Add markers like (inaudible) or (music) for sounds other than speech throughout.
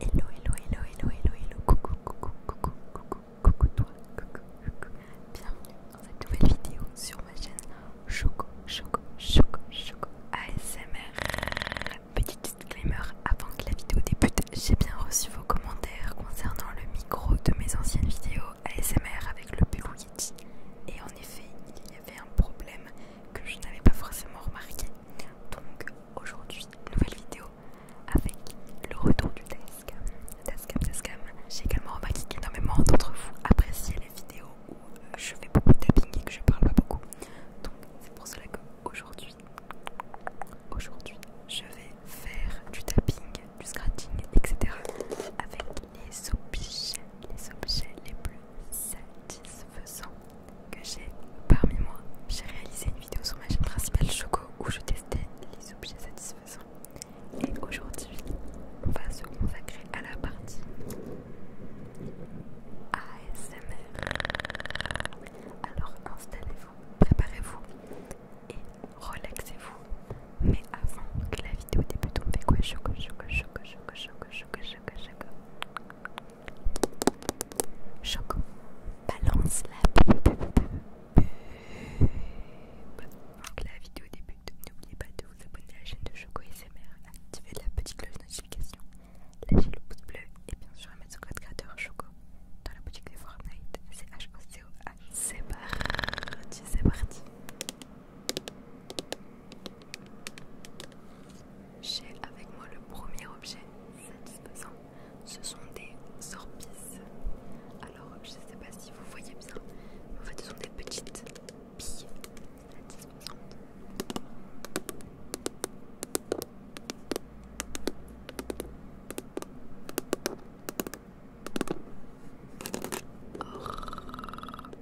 Hello, hello, hello, hello, hello, hello, coucou, coucou, coucou, coucou, coucou, toi, coucou, coucou, bienvenue dans cette nouvelle vidéo sur ma chaîne Choco, Choco, Choco, Choco ASMR. Petit disclaimer avant que la vidéo débute, j'ai bien reçu vos commentaires concernant le micro de mes anciennes vidéos ASMR avec le pull Et en effet, il y avait un problème que je n'avais pas forcément remarqué. Donc Aujourd'hui, nouvelle vidéo avec le retour du Tascam. J'ai également remarqué qu'énormément d'entre vous appréciez les vidéos où euh, je fais beaucoup de tapping et que je parle pas beaucoup. Donc, c'est pour cela que aujourd'hui, aujourd'hui, je vais faire du tapping, du scratching, etc. avec les objets, les objets les plus satisfaisants que j'ai parmi moi. J'ai réalisé une vidéo sur ma chaîne principale Choco où je testais les objets satisfaisants. Et aujourd'hui, on va se consacrer à la partie ASMR. Alors installez-vous, préparez-vous et relaxez-vous. Mais avant que la vidéo débute, on fait quoi Choco, choco, choco, choco, choco, choco, choco, choco. Choco, balance la pub. Avant que la vidéo débute, n'oubliez pas de vous abonner à la chaîne de Choco SMR, Activez la petite cloche de notification, lâcher le pouce bleu et bien sûr mettre son code créateur Choco dans la boutique de Fortnite. C'est H-O-C-O-H. C'est parti, c'est parti. J'ai avec moi le premier objet satisfaisant. Ce sont des sorbices. Alors, je ne sais pas si vous voyez bien, mais en fait, ce sont des petites billes satisfaisantes.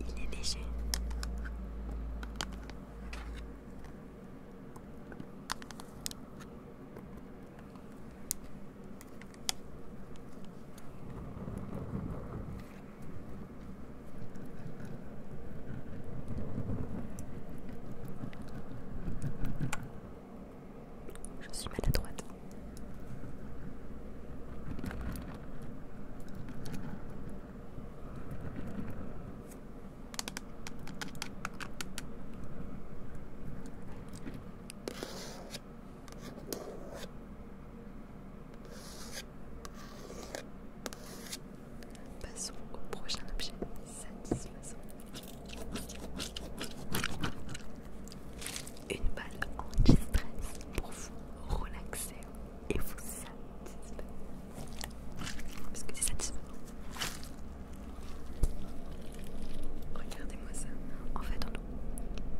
Il est léger. Je suis à droite. Passons au prochain objet satisfaisant une balle anti-stress pour vous relaxer et vous satisfaire. Parce que c'est satisfaisant. Regardez-moi ça. En fait,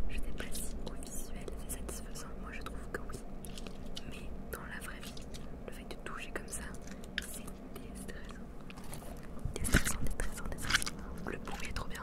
je sais pas si au visuel c'est satisfaisant. Moi, je trouve que oui. Mais dans la vraie vie, le fait de toucher comme ça, c'est déstressant. Déstressant, déstressant, déstressant. Le bruit est trop bien.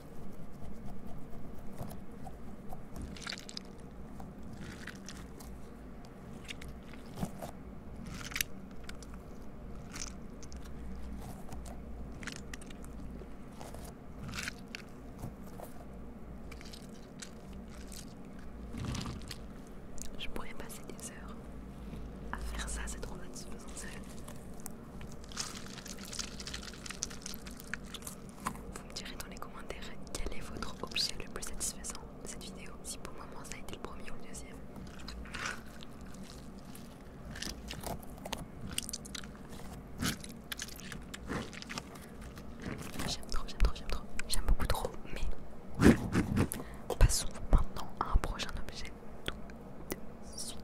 Je pourrais passer des heures à faire ça, c'est trop se sérieux. Vous me direz dans les commentaires quel est votre objet le plus satisfaisant de cette vidéo, si pour moi ça a été le premier ou le deuxième. J'aime trop, j'aime trop, j'aime trop, j'aime beaucoup trop, mais (laughs) passons maintenant à un prochain objet tout de suite.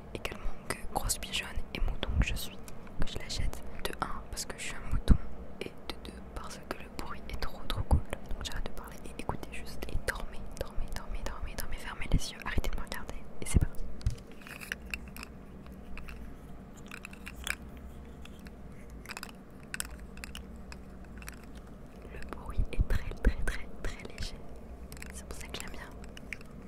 également que grosse pigeonne et mouton que je suis, que je l'achète. De 1 parce que je suis un mouton et de 2 parce que le bruit est trop trop cool. Donc j'arrête de parler et écoutez juste et dormez, dormez, dormez, dormez, dormez, fermez les yeux, arrêtez de me regarder et c'est parti. Le bruit est très très très très léger. C'est pour ça que j'aime bien.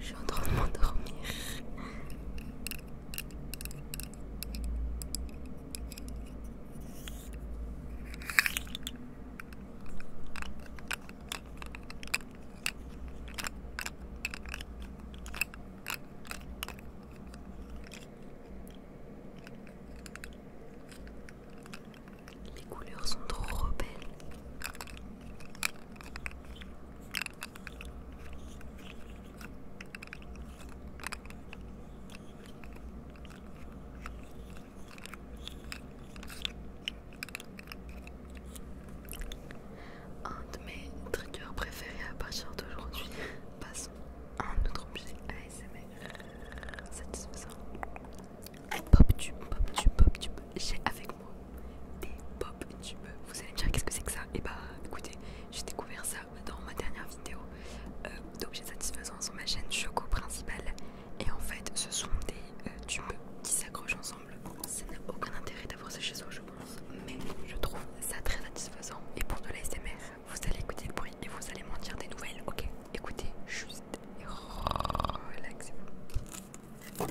Je suis en train de m'endormir. Les couleurs sont trop belles. Un de mes triggers préférés à partir d'aujourd'hui, passons à un autre objet ASMR satisfaisant. PopTube, pop PopTube. J'ai avec moi des pop PopTube. Vous allez me dire qu'est-ce que c'est que ça Et eh bah ben, écoutez, j'ai découvert ça dans ma dernière vidéo euh, d'objets satisfaisants sur ma chaîne Choco principale. Et en fait, ce sont des euh, tubes qui s'accrochent ensemble. Ça n'a aucun intérêt d'avoir ces chez je pense, mais je trouve ça très satisfaisant. Et pour de l'ASMR, vous allez écouter le bruit et vous allez m'en dire des nouvelles, ok Écoutez juste et relaxez-vous.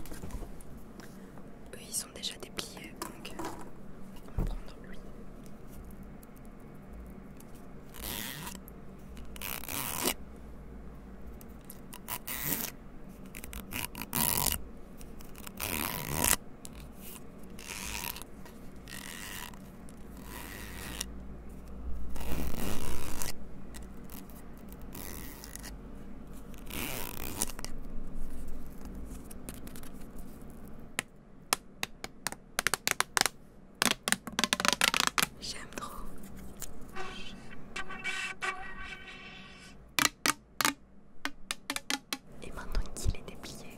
Eux, ils sont déjà dépliés, donc euh, on va prendre lui. J'aime trop. Et maintenant qu'il est déplié,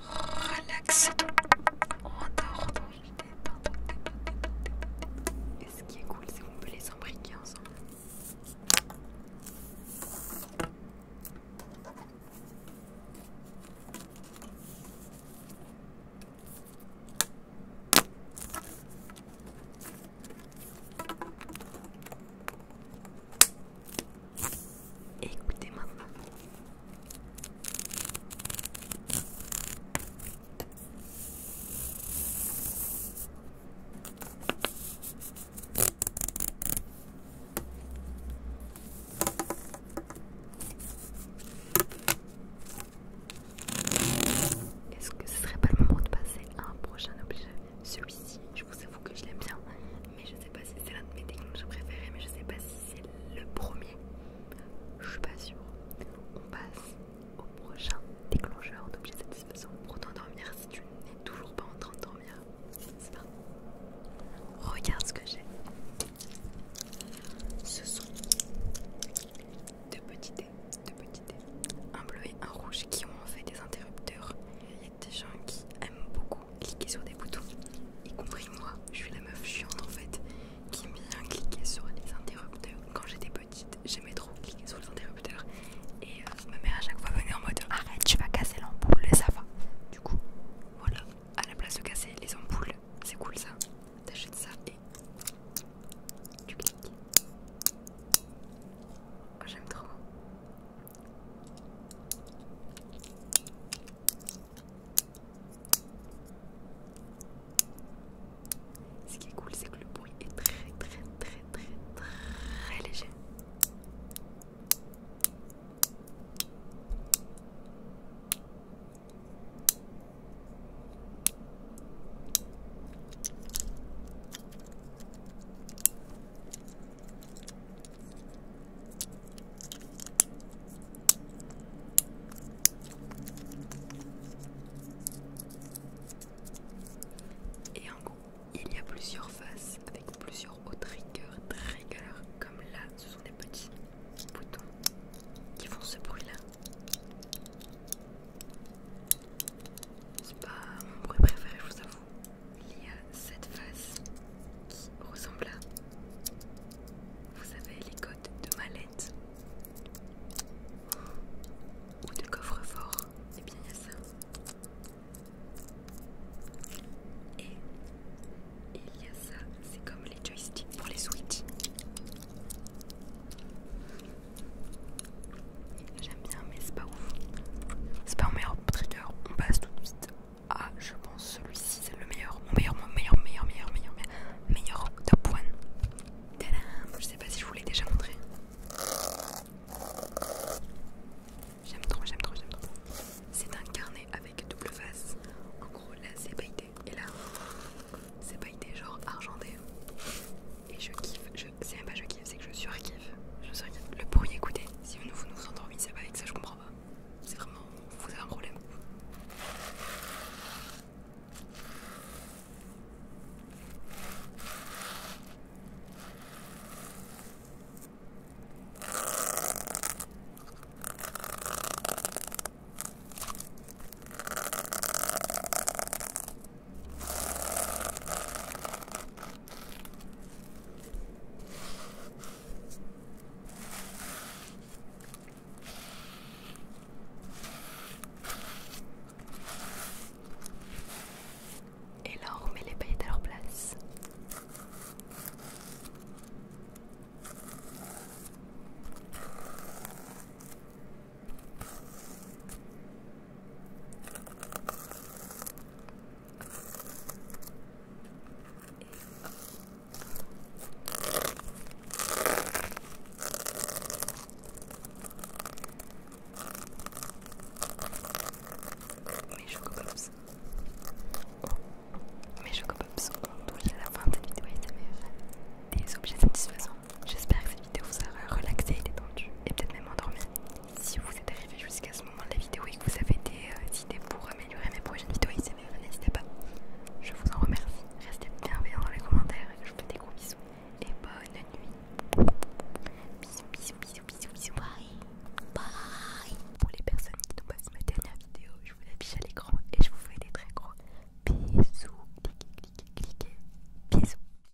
relax on dort Et ce qui est cool, c'est qu'on peut les imbriquer ensemble écoutez maintenant. Est-ce que ce serait pas le moment de passer à un prochain objet Celui-ci, je vous avoue que je l'aime bien, mais je sais pas si c'est l'un de mes déclencheurs préférés, mais je sais pas si c'est le premier. Je suis pas sûre. On passe au prochain déclencheur d'objets satisfaisants pour t'endormir si tu n'es toujours pas en train de dormir. Regarde ce que j'ai. Ce sont deux petits dés, deux petits dés, un bleu et un rouge qui ont en fait des interrupteurs des gens qui aiment beaucoup cliquer sur des boutons, y compris moi. Je suis la meuf chiante en fait qui aime bien cliquer sur les interrupteurs. Quand j'étais petite, j'aimais trop cliquer sur les interrupteurs. Et euh, ma mère à chaque fois venait en mode arrête, tu vas casser l'ampoule et ça va. Du coup, voilà, à la place de casser les ampoules, c'est cool ça. T'achètes ça et tu cliques. J'aime trop. Ce qui est cool, c'est que le bruit est très très très très très léger. Et en gros, il y a plusieurs faces avec plusieurs hauts triggers, triggers comme là, ce sont des petits boutons qui font ce bruit là. C'est pas mon bruit préféré, je vous avoue il y a cette face qui ressemble à, vous savez, les codes de mallette ou de coffre-fort. Et eh bien il y a ça. Et il y a ça, c'est comme les joysticks pour les Switch bien, mais c'est pas ouf. C'est pas mon meilleur trigger. On passe tout de suite à, je pense, celui-ci, c'est le meilleur. Mon meilleur, mon meilleur, meilleur, meilleur, meilleur, meilleur top one. Je sais pas si je vous l'ai déjà montré. J'aime trop, j'aime trop, j'aime trop. C'est un carnet avec double face. En gros, là c'est pailleté et là c'est pailleté, genre argenté. Et je kiffe, c'est même pas je kiffe, c'est que je suis surkiffe. Je surkiffe. Le bruit écoutez, si vous nous vous endormez, pas avec ça, je comprends pas. C'est vraiment. Vous avez un problème. Et là, on remet les paillettes à leur place. Mes chocopops. Oh. Mes chocopops sont touché à la fin de cette vidéo fait Des objets satisfaisants. J'espère que cette vidéo vous aura relaxé et détendu et peut-être même endormi si vous êtes arrivé jusqu'à ce moment de la vidéo et que vous avez des euh, idées pour améliorer mes prochaines vidéos n'hésitez pas. Je vous en remercie. Restez bienveillants dans les commentaires. Je vous fais des gros bisous et bonne nuit. Bisous, bisous, bisous, bisous, bisous. Bye. Bye. Pour les personnes qui nous pas ma dernière vidéo, je vous affiche à l'écran et je vous fais des très gros bisous. Cliquez, cliquez, cliquez. Bisous.